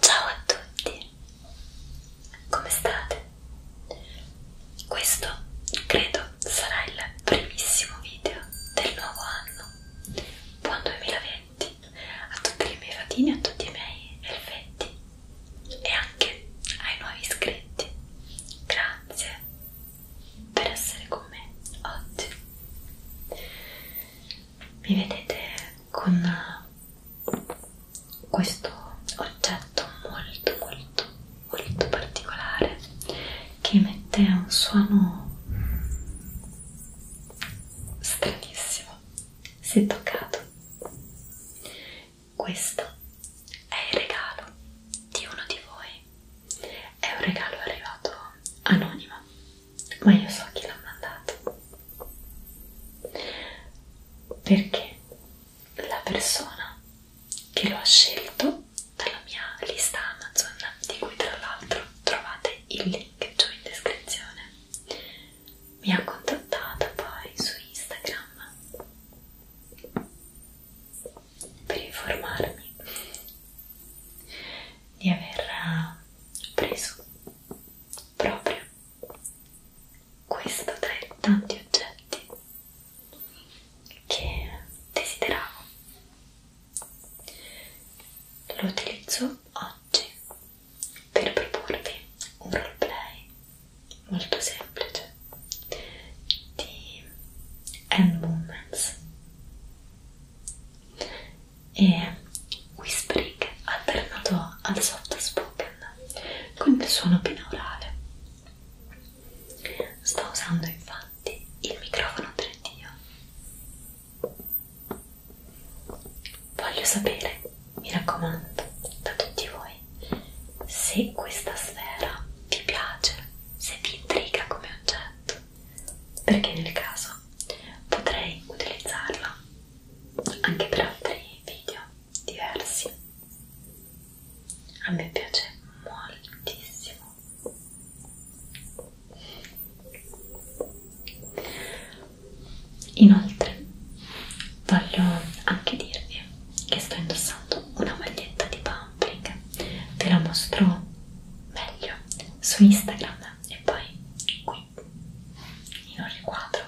Ciao a tutti, come state? Questo credo sarà il primissimo video del nuovo anno, buon 2020 a tutte le mie fatine, a tutti i miei elfetti e anche ai nuovi iscritti. Grazie, per essere con me oggi. Mi vedete con questo oggetto molto molto molto particolare che emette un suono stranissimo se toccato questo è il regalo di uno di voi. È un regalo arrivato anonimo, ma io so chi l'ha mandato. Perché la persona che lo ha scelto dalla mia lista Amazon, di cui tra l'altro trovate il link giù in descrizione, mi ha contattata poi su Instagram per informarmi di aver eh, preso proprio questo tra i tanti oggetti che desideravo. Lo utilizzo oggi per proporvi un roleplay molto semplice di hand movements e whispering alternato al soft spoken con il suono binaurale sto usando infatti il microfono 3D voglio sapere mi raccomando da tutti voi se questa sfera vi piace, se vi intriga come oggetto, perché nel caso potrei utilizzarla anche per altri video diversi. A me piace moltissimo. Inoltre voglio anche dirvi che sto indossando una maglietta di pumpling ve la mostro meglio su Instagram e poi qui in un riquadro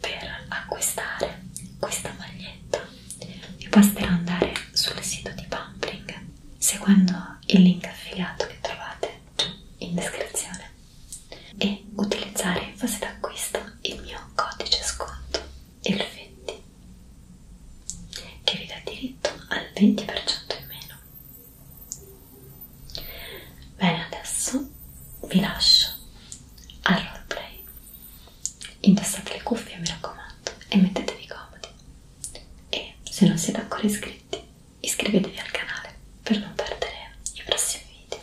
per acquistare questa maglietta vi basterà andare sul sito di Pumpling seguendo il link affiliato che trovate in descrizione e utilizzare in fase d'acquisto il mio codice sconto effetti che vi dà diritto al 20% in meno bene adesso vi lascio al roleplay indossate le cuffie mi raccomando e mettetevi comodi e se non siete ancora iscritti iscrivetevi al canale per non perdere i prossimi video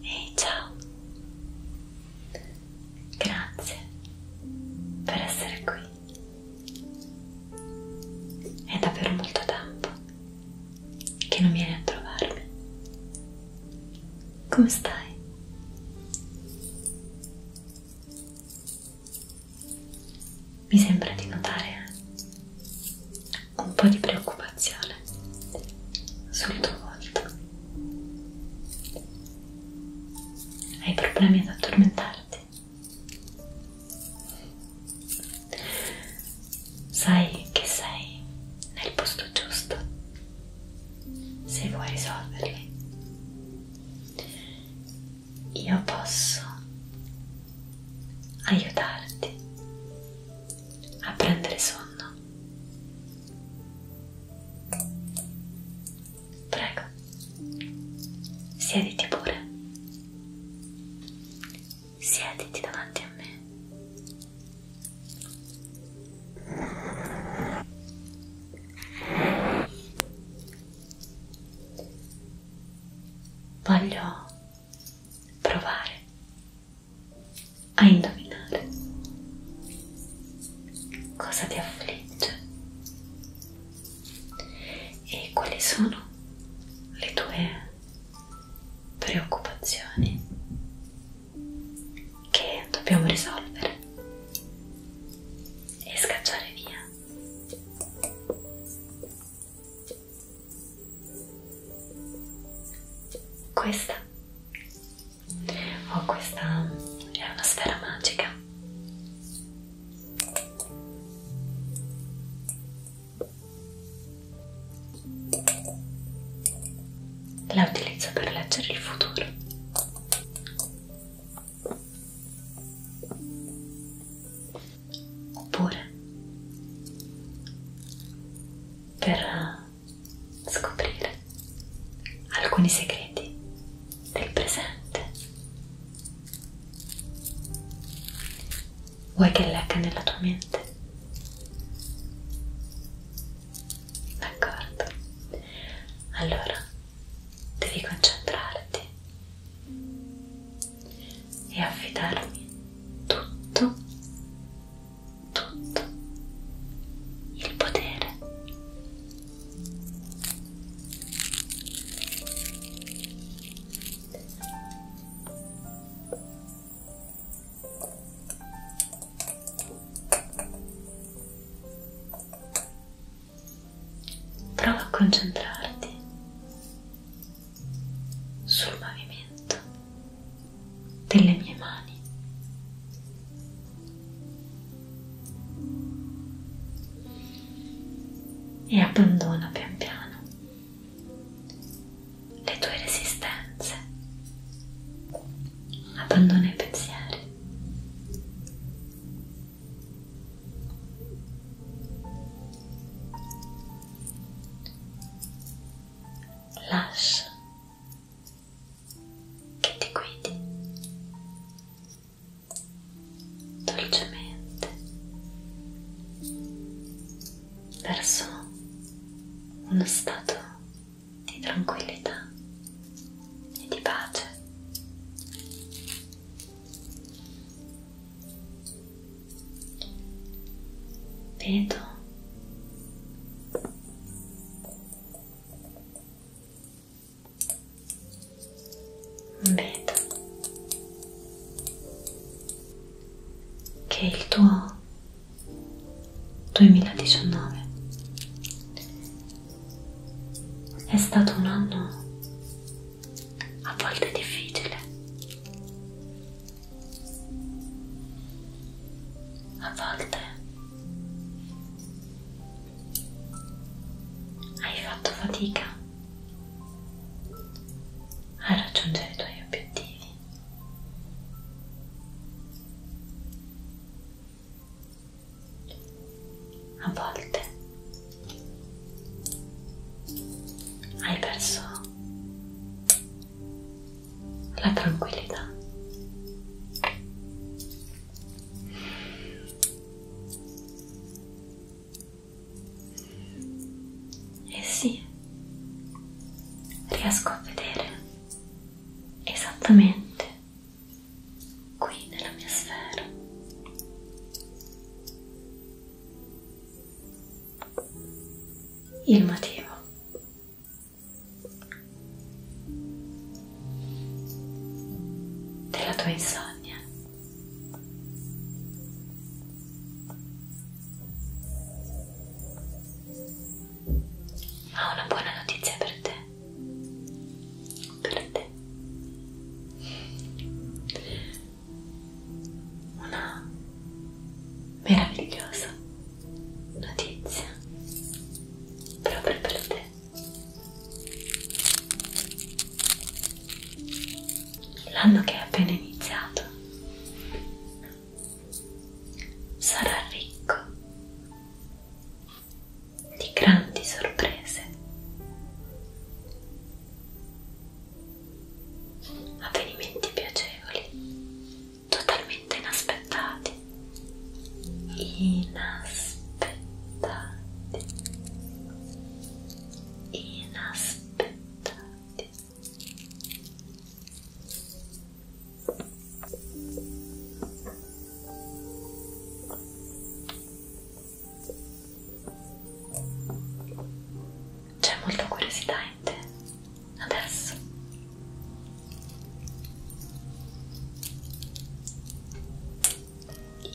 Ehi ciao, grazie per essere qui. È davvero molto tempo che non vieni a trovarmi. Come stai? Mi sembra di notare un po' di preoccupazione sul tuo volto. Hai problemi ad addormentarti? Sai che sei nel posto giusto se vuoi risolverli. Io posso aiutarti a prendere sonno. Prego, siediti pure. Siediti davanti a me. Voglio provare a indovinare cosa ti affligge e quali sono le tue preoccupazioni che dobbiamo risolvere e scacciare via. Questa ho oh, questa è una sfera magica la utilizzo per leggere il futuro oppure per eh, scoprire alcuni segreti del presente. Vuoi che legga nella tua mente? D'accordo. Allora, devi concentrarti e affidarmi tutto, tutto il potere Prova a concentrarti sul movimento delle mie mani e abbandona pian piano le tue resistenze, abbandona i pensieri. Lascia che ti guidi dolcemente verso uno stato di tranquillità e di pace. Vedo Vedo che il tuo 2019 è stato un anno a volte difficile, a volte hai fatto fatica a raggiungere i tuoi obiettivi. A volte hai perso la tranquillità. E eh sì, riesco a vedere esattamente qui nella mia sfera. Il motivo della tua insonnia. Ho una buona notizia per te. Per te. Una meravigliosa notizia proprio per te. L'anno che è appena iniziato sarà ricco di grandi sorprese. Avvenimenti piacevoli totalmente inaspettati inaspettati inaspettati c'è molta curiosità in te adesso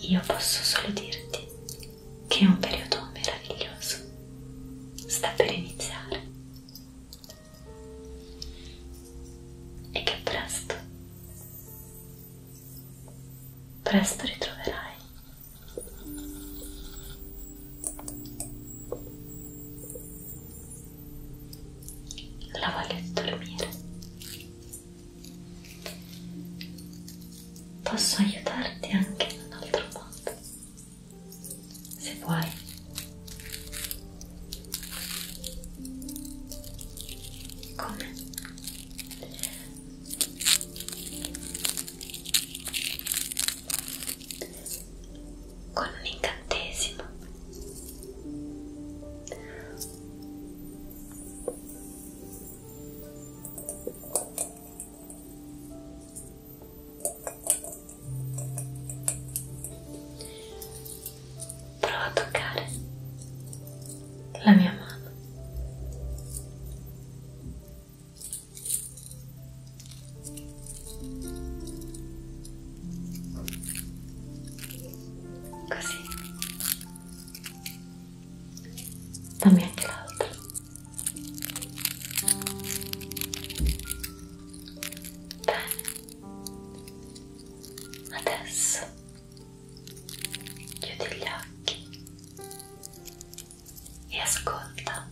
io posso solo dirti che è un periodo meraviglioso sta per iniziare e che presto presto ritroverai la voglia di dormire. Posso aiutarti anche in un altro modo, se vuoi. Come? con un incantesimo prova a toccare la mia mano Così. Dammi anche l'altro. Bene. Adesso chiudi gli occhi e ascolta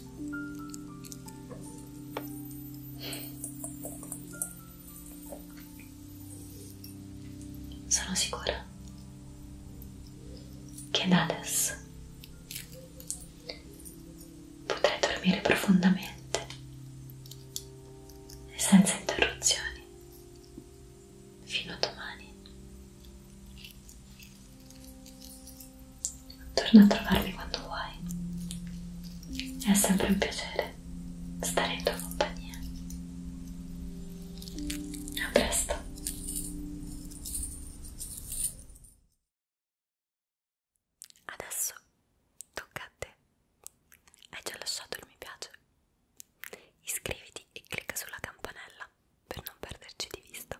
Sono sicura che da adesso potrai dormire profondamente e senza interruzioni fino a domani. Torna a trovarmi quando vuoi. È sempre un piacere stare in tua compagnia. A presto. Adesso tocca a te. Hai già lasciato il mi piace? Iscriviti e clicca sulla campanella per non perderci di vista